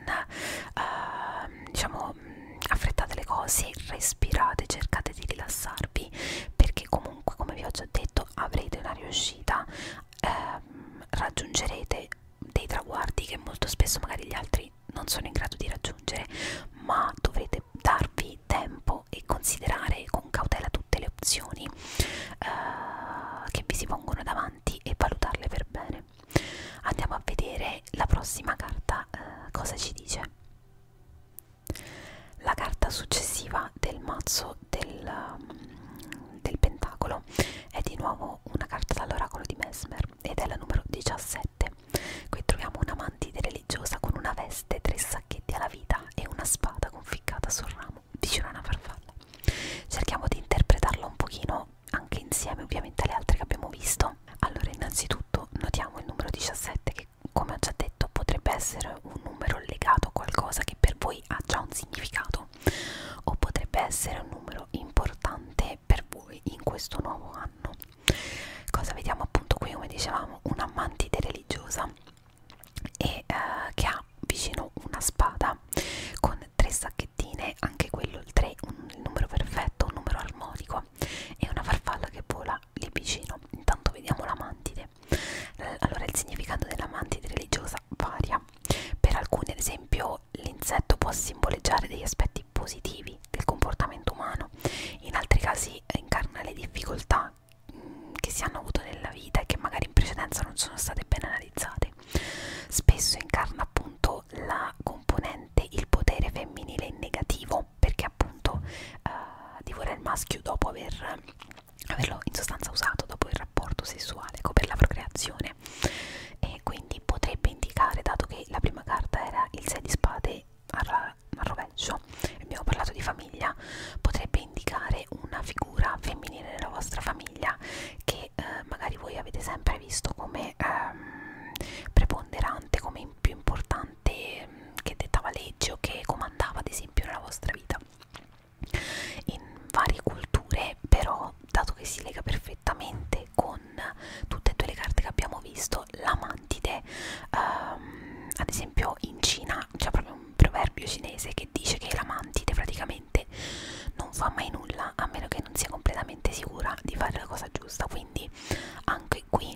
uh, diciamo mm, affrettate le cose respirate cercate di rilassarvi perché comunque come vi ho già detto avrete una riuscita uh, raggiungerete dei traguardi che molto spesso magari gli altri non sono in grado di raggiungere ma dovrete darvi darsi tempo e considerare con cautela tutte le opzioni uh, che vi si pongono davanti e valutarle per bene. Andiamo a vedere la prossima carta uh, cosa ci dice. La carta successiva del mazzo del, um, del Pentacolo è di nuovo una carta dall'oracolo di Mesmer ed è la numero 17. Qui troviamo un'amante religiosa con una veste, tre sacchetti alla vita e una spada conficcata sul ramo amo diceva una farfalla cerchiamo di interpretarlo un pochino anche insieme ovviamente alle altre che abbiamo visto allora innanzitutto notiamo il numero 17 che come ho già detto potrebbe essere un numero legato a qualcosa che per voi ha già un significato o potrebbe essere un numero importante per voi in questo nuovo anno cosa vediamo appunto qui come dicevamo una mantide religiosa e eh, che ha vicino una spada con tre sacchettine anche quello il 3 un, il numero perfetto un numero armonico e una farfalla che vola lì vicino intanto vediamo la mantide eh, allora il significato della mantide religiosa varia per alcuni ad esempio l'insetto può simboleggiare degli aspetti positivi del comportamento umano in altri casi eh, incarna le difficoltà mh, che si hanno avuto nella vita e che magari in precedenza non sono state ben analizzate. Spesso incarna appunto la componente il potere femminile in negativo, perché appunto uh, eh, divora il maschio dopo aver, averlo in sostanza usato, dopo il rapporto sessuale, ecco, per la procreazione. E quindi potrebbe indicare, dato che la prima carta era il 6 di spade a, a rovescio, compagno, abbiamo parlato di famiglia, potrebbe indicare una figura femminile nella vostra famiglia che eh, magari voi avete sempre visto come ehm, preponderante, come più importante, ehm, che dettava legge o che comandava ad esempio nella vostra vita. In varie culture però, dato che si lega perfettamente con tutte e due le carte che abbiamo visto, la mantide, ehm, ad esempio in Cina c'è proprio un proverbio cinese che dice che la mantide praticamente non fa mai nulla a meno che non sia completamente sicura di fare la cosa giusta quindi anche qui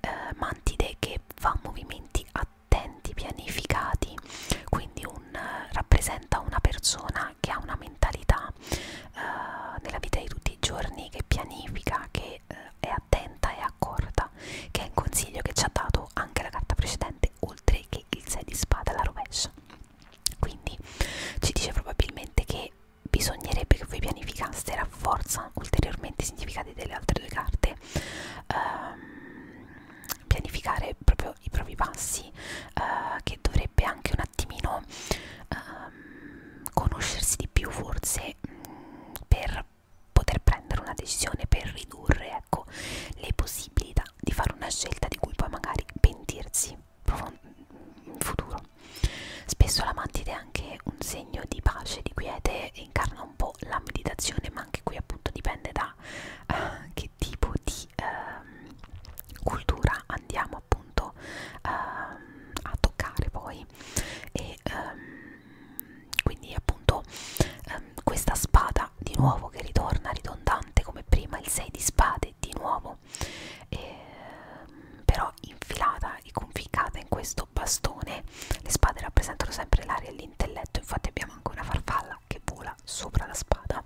eh, mantide che fa movimenti attenti pianificati quindi un, eh, rappresenta una persona che ha una mentalità eh, nella vita di tutti i giorni che pianifica che eh, è attenta e accorta che è il consiglio che ci ha dato giocato anche la carta precedente oltre che il 6 di spada alla rovescia quindi ci dice probabilmente che bisognerebbe che voi pianificaste e rafforza ulteriormente i significati delle altre due carte ehm, pianificare proprio i propri passi eh, che dovrebbe anche un attimino ehm, conoscersi di più forse mh, mm, per poter prendere una decisione per ridurre ecco, le possibilità di fare una scelta di cui poi magari pentirsi in futuro. Spesso la mantide è anche un segno di pace, di quiete e incarna un po' la meditazione, ma anche qui appunto dipende da uh, che tipo di uh, cultura andiamo appunto uh, a toccare poi. E, um, quindi appunto ehm, questa spada di nuovo che ritorna ridondante come prima il 6 di spade di nuovo ehm, però infilata e conficcata in questo bastone le spade rappresentano sempre l'aria e l'intelletto infatti abbiamo anche una farfalla che vola sopra la spada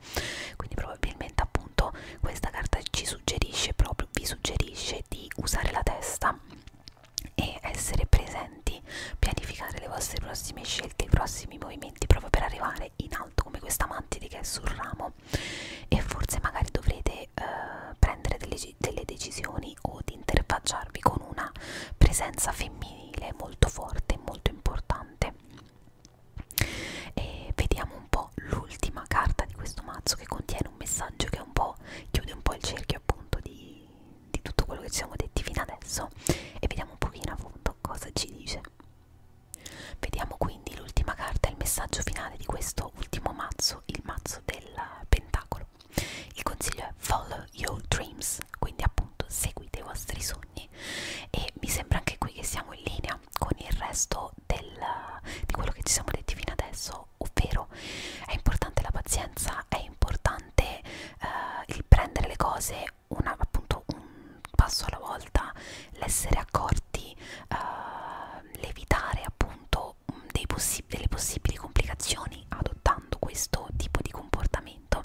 quindi probabilmente appunto questa carta ci suggerisce proprio vi suggerisce di usare la testa e essere presenti, pianificare le vostre prossime scelte, i prossimi movimenti proprio per arrivare in alto come questa mantide che è sul ramo e forse magari dovrete eh, prendere delle, delle decisioni o di interfacciarvi con una presenza femminile molto forte e molto importante e vediamo un po' l'ultima carta di questo mazzo che contiene un messaggio che un po' chiude un po' il cerchio appunto di di tutto quello che ci siamo detti fino adesso e vediamo un pochino appunto cosa ci dice vediamo quindi l'ultima carta il messaggio finale di questo ultimo mazzo il mazzo del pentacolo il consiglio è follow your dreams quindi appunto seguite i vostri sogni e mi sembra anche qui che siamo in linea con il resto del, di quello che ci siamo detti fino adesso ovvero è importante la pazienza è importante importante eh, il prendere le cose una, appunto un passo alla volta, l'essere accorti, eh, l'evitare appunto dei possi delle possibili complicazioni adottando questo tipo di comportamento.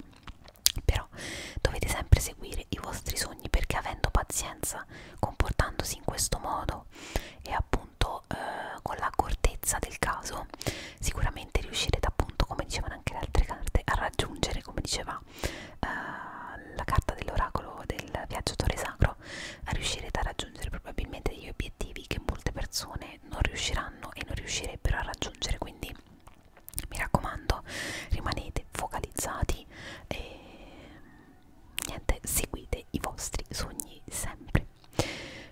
Però dovete sempre seguire i vostri sogni perché avendo pazienza, comportandosi in questo modo e appunto eh, con l'accortezza del caso, sicuramente veramente riuscirete appunto come dicevano anche le altre carte a raggiungere come diceva eh, la carta dell'oracolo del viaggiatore sacro a riuscirete a raggiungere probabilmente degli obiettivi che molte persone non riusciranno e non riuscirebbero a raggiungere quindi mi raccomando rimanete focalizzati e niente seguite i vostri sogni sempre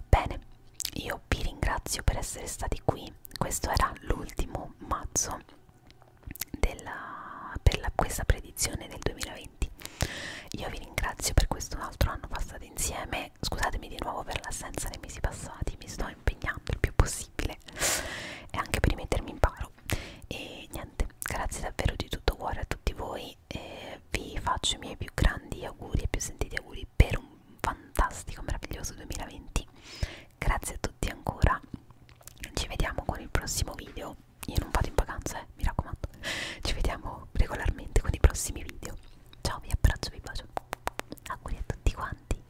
bene io vi ringrazio per essere stati qui questo era l'ultimo mazzo della, per la, questa predizione del 2020 io vi ringrazio per questo altro anno passato insieme scusatemi di nuovo per l'assenza nei mesi passati mi sto impegnando il più possibile e anche per rimettermi in paro e niente grazie davvero di tutto cuore a tutti voi e vi faccio i miei più grandi auguri e più sentiti auguri per un un fantastico, meraviglioso 2020. Grazie a tutti ancora. Ci vediamo con il prossimo video. Io non vado in vacanza, eh, mi raccomando. Ci vediamo regolarmente con i prossimi video. Ciao, vi abbraccio, vi bacio. Auguri a tutti quanti.